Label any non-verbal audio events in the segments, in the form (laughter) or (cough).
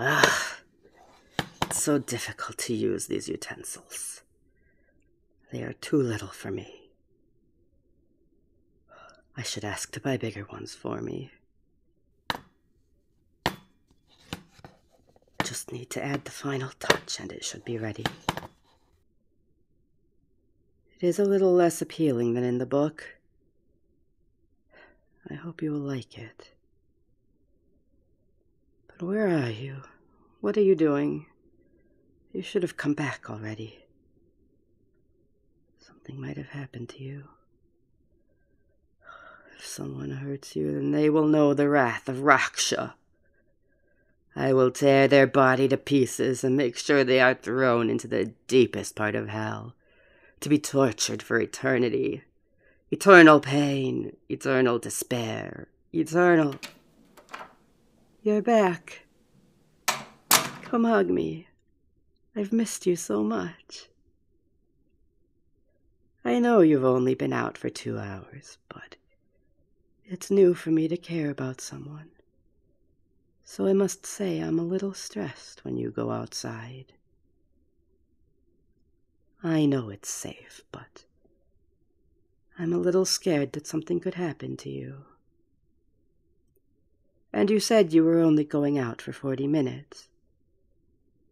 Ah, it's so difficult to use these utensils. They are too little for me. I should ask to buy bigger ones for me. Just need to add the final touch and it should be ready. It is a little less appealing than in the book. I hope you will like it. But where are you? What are you doing? You should have come back already. Something might have happened to you. If someone hurts you, then they will know the wrath of Raksha. I will tear their body to pieces and make sure they are thrown into the deepest part of hell, to be tortured for eternity. Eternal pain, eternal despair, eternal. You're back. Come hug me. I've missed you so much. I know you've only been out for two hours, but it's new for me to care about someone so I must say I'm a little stressed when you go outside. I know it's safe, but I'm a little scared that something could happen to you. And you said you were only going out for forty minutes.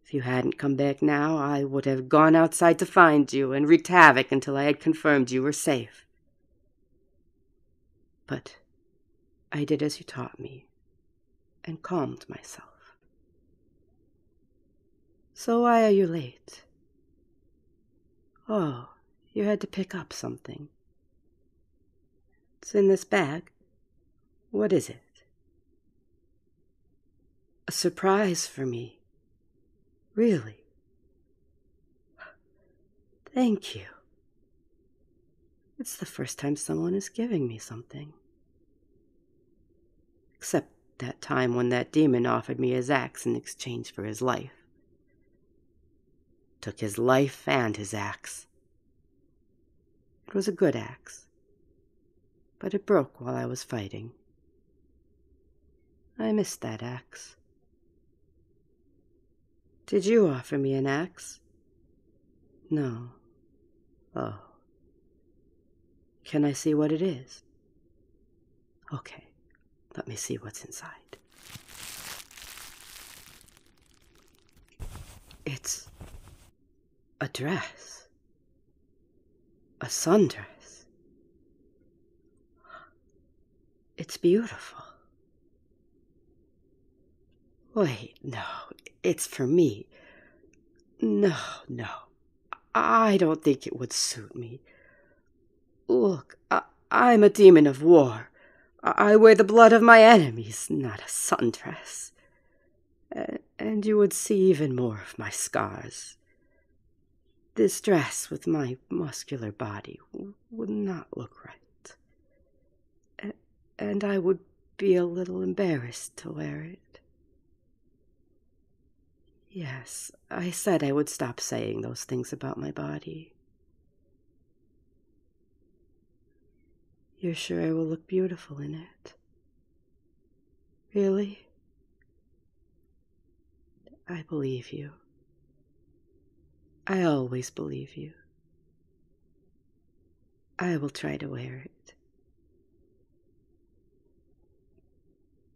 If you hadn't come back now, I would have gone outside to find you and wreaked havoc until I had confirmed you were safe. But I did as you taught me and calmed myself. So why are you late? Oh, you had to pick up something. It's in this bag. What is it? A surprise for me. Really? Thank you. It's the first time someone is giving me something. Except that time when that demon offered me his axe in exchange for his life. Took his life and his axe. It was a good axe, but it broke while I was fighting. I missed that axe. Did you offer me an axe? No. Oh. Can I see what it is? Okay, let me see what's inside. It's a dress, a sundress. It's beautiful. Wait, no, it's for me. No, no, I don't think it would suit me. Look, I, am a demon of war. I, wear the blood of my enemies, not a sundress. and you would see even more of my scars. This dress, with my muscular body would not look right. and I would be a little embarrassed to wear it. Yes, I said I would stop saying those things about my body. You're sure I will look beautiful in it? Really? I believe you. I always believe you. I will try to wear it.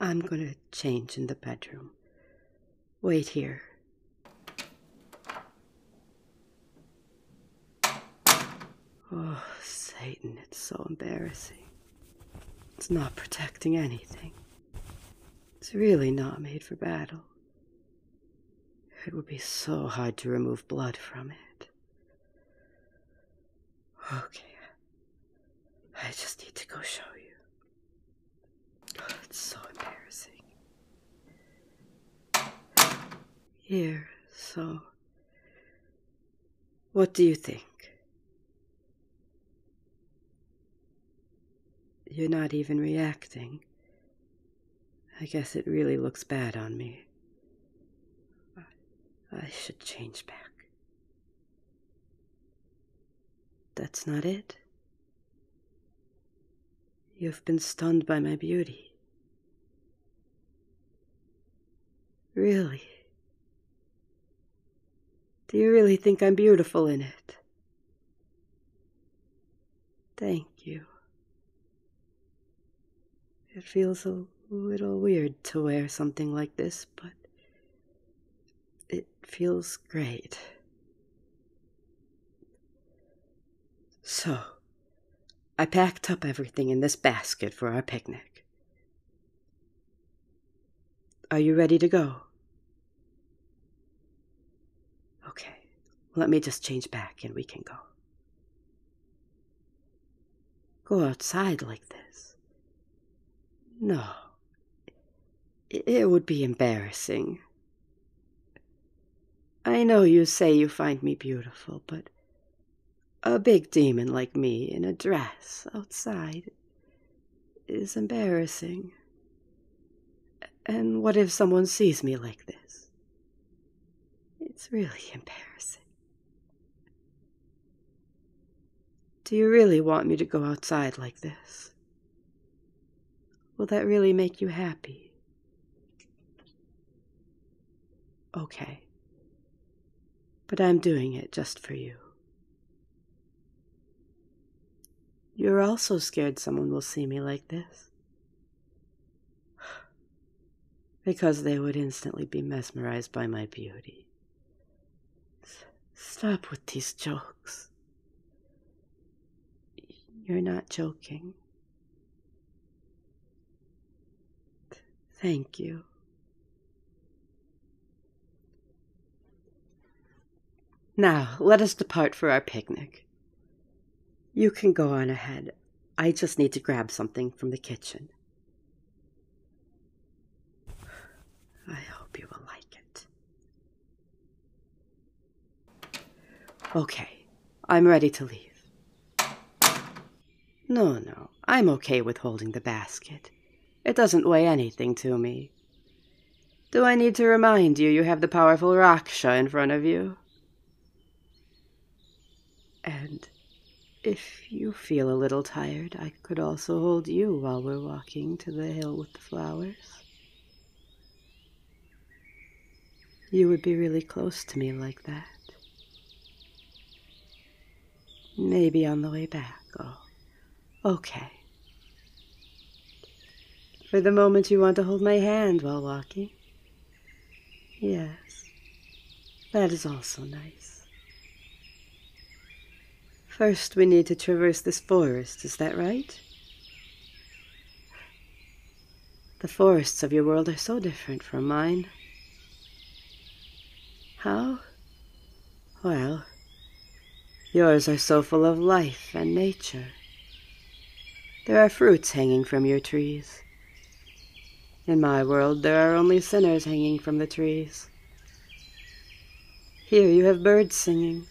I'm going to change in the bedroom. Wait here. Oh, Satan, it's so embarrassing. It's not protecting anything. It's really not made for battle. It would be so hard to remove blood from it. Okay. I just need to go show you. Oh, it's so embarrassing. Here, so. What do you think? You're not even reacting. I guess it really looks bad on me. I, should change back. That's not it. You've been stunned by my beauty. Really? Do you really think I'm beautiful in it? Thank you. It feels a little weird to wear something like this, but it feels great. So, I packed up everything in this basket for our picnic. Are you ready to go? Okay, let me just change back and we can go. Go outside like this. No, it would be embarrassing. I know you say you find me beautiful, but a big demon like me in a dress outside is embarrassing. And what if someone sees me like this? It's really embarrassing. Do you really want me to go outside like this? Will that really make you happy? Okay. But I'm doing it just for you. You're also scared someone will see me like this. Because they would instantly be mesmerized by my beauty. stop with these jokes. You're not joking. Thank you. Now, let us depart for our picnic. You can go on ahead. I just need to grab something from the kitchen. I hope you will like it. Okay, I'm ready to leave. No, no, I'm okay with holding the basket. It doesn't weigh anything to me. Do I need to remind you you have the powerful Raksha in front of you? And if you feel a little tired, I could also hold you while we're walking to the hill with the flowers. You would be really close to me like that. Maybe on the way back. Oh, okay. For the moment, you want to hold my hand while walking? Yes, that is also nice. First, we need to traverse this forest, is that right? The forests of your world are so different from mine. How well, yours are so full of life and nature. There are fruits hanging from your trees. In my world, there are only sinners hanging from the trees. Here you have birds singing.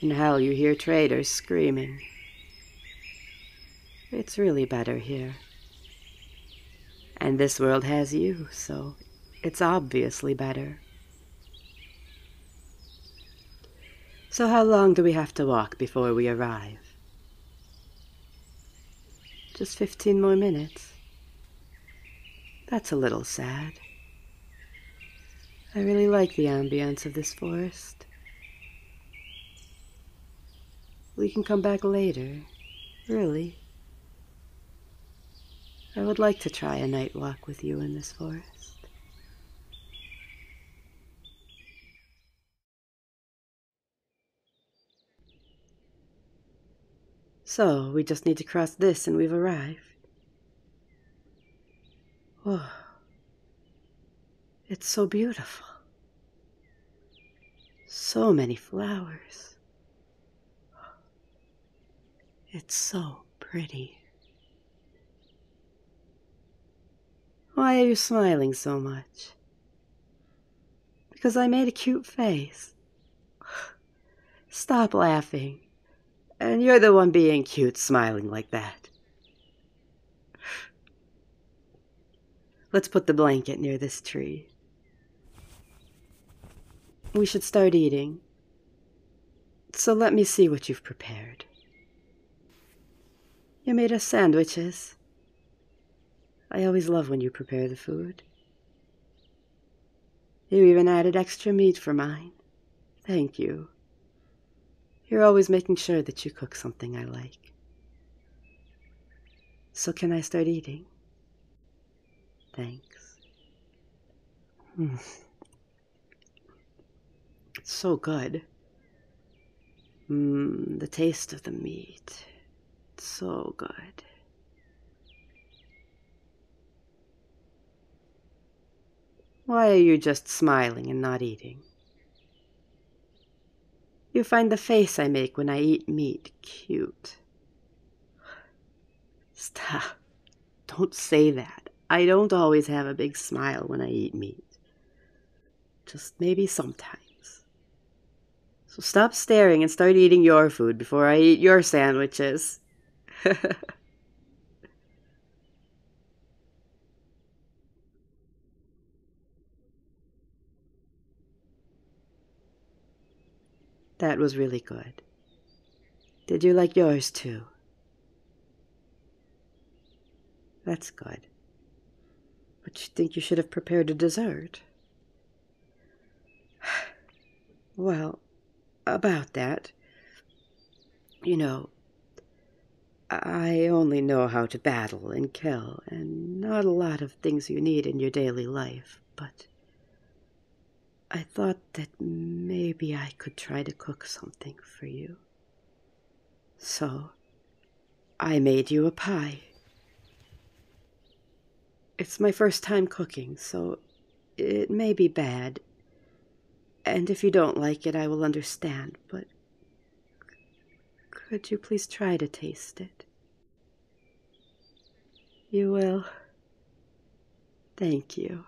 In hell, you hear traders screaming. It's really better here. And this world has you, so it's obviously better. So, how long do we have to walk before we arrive? Just 15 more minutes. That's a little sad. I really like the ambience of this forest. We can come back later, really. I would like to try a night walk with you in this forest. So, we just need to cross this and we've arrived. Whoa. It's so beautiful. So many flowers. It's so pretty. Why are you smiling so much? Because I made a cute face. (sighs) Stop laughing. And you're the one being cute, smiling like that. (sighs) Let's put the blanket near this tree we should start eating. So let me see what you've prepared. You made us sandwiches. I always love when you prepare the food. You even added extra meat for mine. Thank you. You're always making sure that you cook something I like. So, can I start eating? Thanks. Hmm. It's so good. Hmm, the taste of the meat. It's so good. Why are you just smiling and not eating? You find the face I make when I eat meat cute. Stop. Don't say that. I don't always have a big smile when I eat meat. Just maybe sometimes. So stop staring and start eating your food before I eat your sandwiches. (laughs) That was really good. Did you like yours too? That's good. But you think you should have prepared a dessert? (sighs) well, about that. You know, I only know how to battle and kill, and not a lot of things you need in your daily life but I thought that maybe I could try to cook something for you. So I made you a pie. It's my first time cooking, so it may be bad. And if you don't like it, I will understand, but could you please try to taste it? You will. Thank you.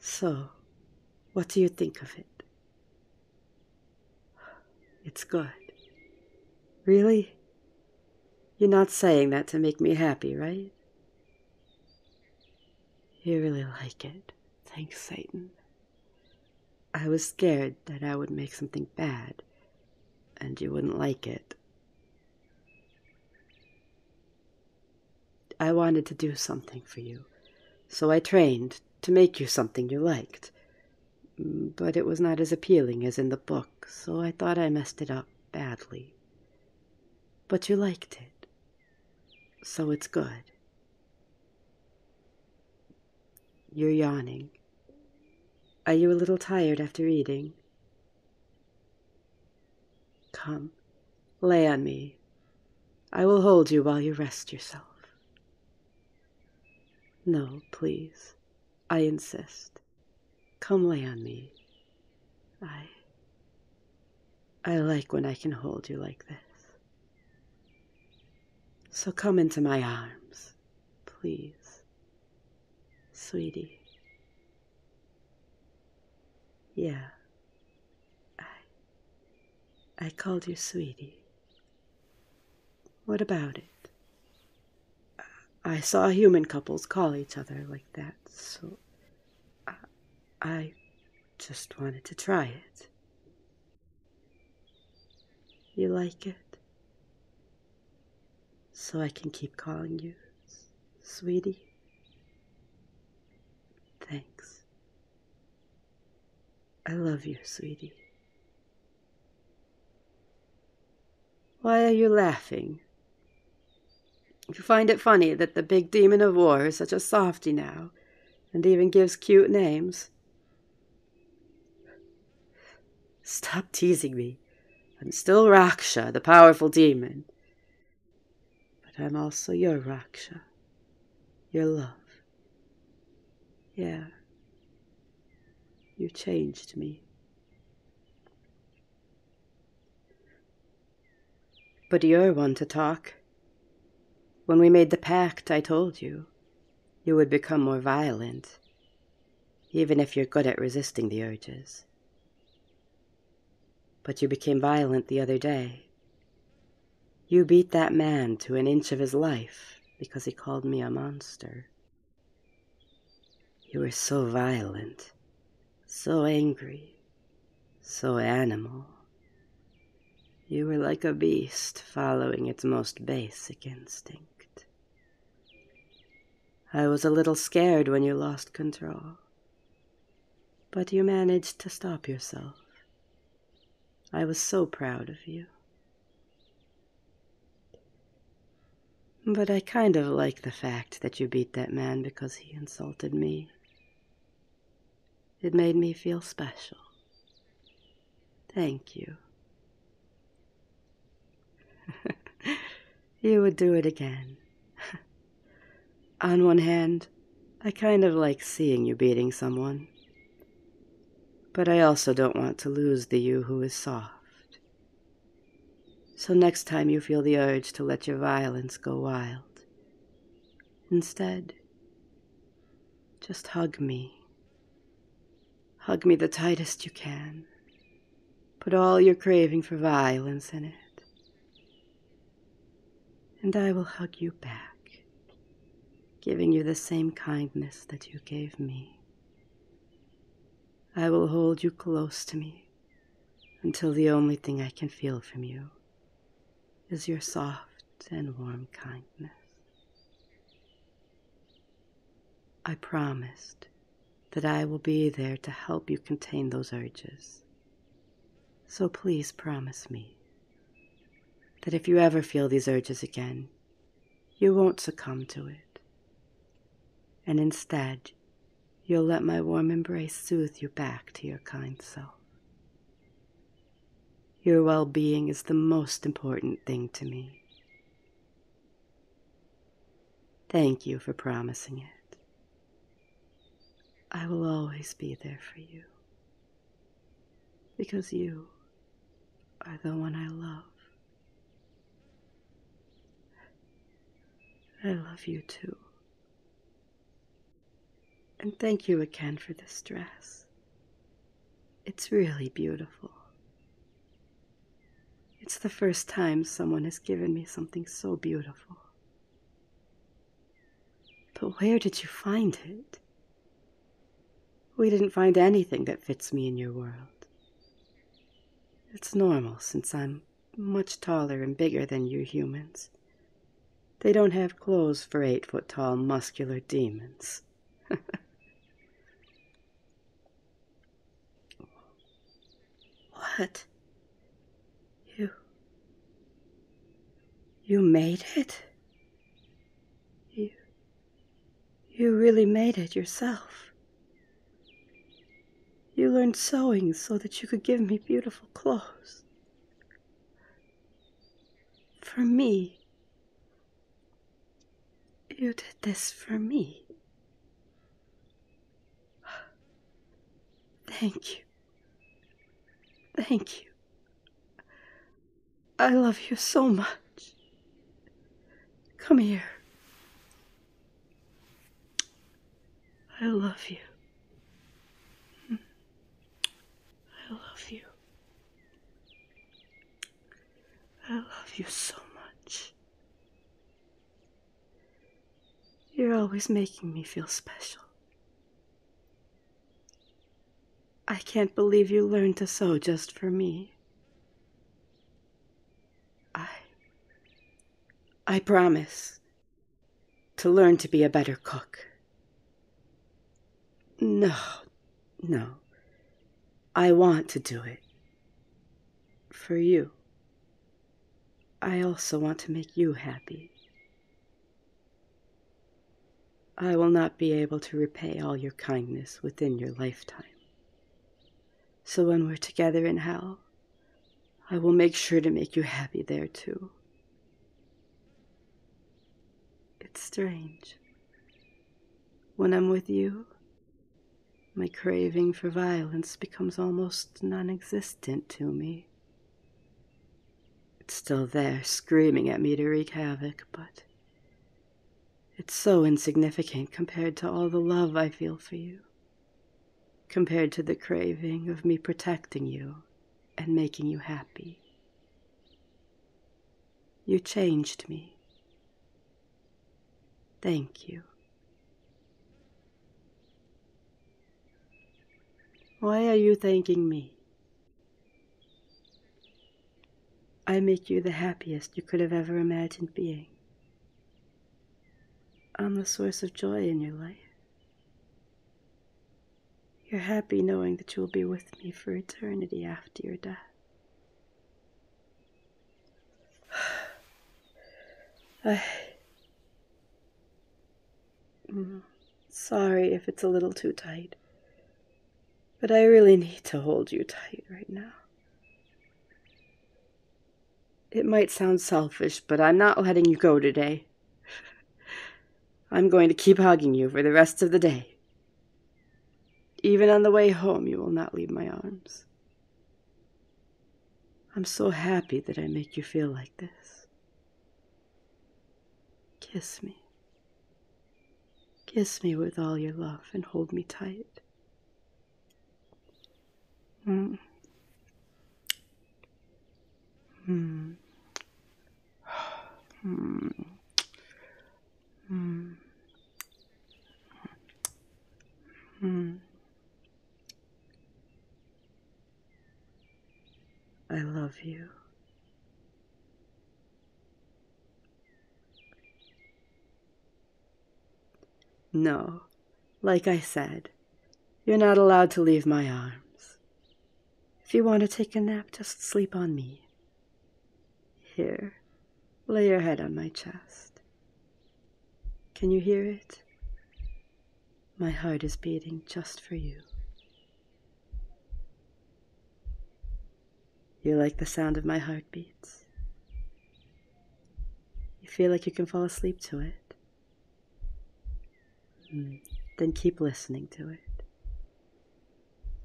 So, what do you think of it? It's good. Really? You're not saying that to make me happy, right? You really like it. Thanks, Satan. I was scared that I would make something bad, and you wouldn't like it. I wanted to do something for you, so I trained to make you something you liked. But it was not as appealing as in the book, so I thought I messed it up badly. But you liked it, so it's good. You're yawning. Are you a little tired after eating? Come, lay on me. I will hold you while you rest yourself. No, please. I insist. Come lay on me. I. I like when I can hold you like this. So come into my arms, please, sweetie. Yeah, I, I called you sweetie. What about it? I saw human couples call each other like that, so I, just wanted to try it. You like it? So I can keep calling you, sweetie? Thanks. I love you, sweetie. Why are you laughing? You find it funny that the big demon of war is such a softy now and even gives cute names. Stop teasing me. I'm still Raksha, the powerful demon. But I'm also your Raksha, your love. Yeah, you changed me. But you're one to talk. When we made the pact, I told you you would become more violent, even if you're good at resisting the urges. But you became violent the other day. You beat that man to an inch of his life because he called me a monster. You were so violent, so angry, so animal. You were like a beast following its most basic instinct. I was a little scared when you lost control, but you managed to stop yourself. I was so proud of you. But I kind of like the fact that you beat that man because he insulted me. It made me feel special. Thank you. (laughs) you would do it again. (laughs) On one hand, I kind of like seeing you beating someone. But I also don't want to lose the you who is soft. So next time you feel the urge to let your violence go wild, instead, just hug me Hug me the tightest you can. Put all your craving for violence in it. And I will hug you back, giving you the same kindness that you gave me. I will hold you close to me until the only thing I can feel from you is your soft and warm kindness. I promised that I will be there to help you contain those urges. So please promise me that if you ever feel these urges again, you won't succumb to it. And instead, you'll let my warm embrace soothe you back to your kind self. Your well being is the most important thing to me. Thank you for promising it. I will always be there for you because you are the one I love. I love you too. And thank you again for this dress. It's really beautiful. It's the first time someone has given me something so beautiful. But where did you find it? We didn't find anything that fits me in your world. It's normal since I'm much taller and bigger than you humans, they don't have clothes for eight foot tall muscular demons. (laughs) what? You. You made it? You. You really made it yourself. You learned sewing so that you could give me beautiful clothes. For me. You did this for me. Thank you. Thank you. I love you so much. Come here. I love you. I love you. I love you so much. You're always making me feel special. I can't believe you learned to sew just for me. I. I promise to learn to be a better cook. No, no. I want to do it. For you. I also want to make you happy. I will not be able to repay all your kindness within your lifetime. So when we're together in hell, I will make sure to make you happy there too. It's strange. When I'm with you, my craving for violence becomes almost non existent to me. It's still there, screaming at me to wreak havoc, but it's so insignificant compared to all the love I feel for you, compared to the craving of me protecting you and making you happy. You changed me. Thank you. Why are you thanking me? I make you the happiest you could have ever imagined being. I'm the source of joy in your life. You're happy knowing that you will be with me for eternity after your death. (sighs) I. Mm, sorry if it's a little too tight, but I really need to hold you tight right now. It might sound selfish, but I'm not letting you go today. I'm going to keep hugging you for the rest of the day. Even on the way home, you will not leave my arms. I'm so happy that I make you feel like this. Kiss me. Kiss me with all your love and hold me tight. Mm. Hmm. Hmm. Hmm. Hmm. I love you. No, like I said, you're not allowed to leave my arms. If you want to take a nap, just sleep on me. Here, lay your head on my chest. Can you hear it? My heart is beating just for you. You like the sound of my heartbeats? You feel like you can fall asleep to it? Mm. Then keep listening to it.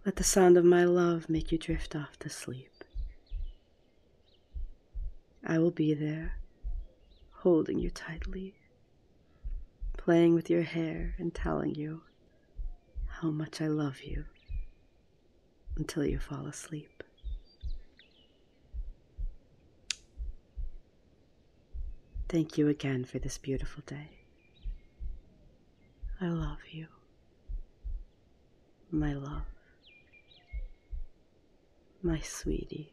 Let the sound of my love make you drift off to sleep. I will be there, holding you tightly, playing with your hair and telling you how much I love you until you fall asleep. Thank you again for this beautiful day. I love you, my love, my sweetie.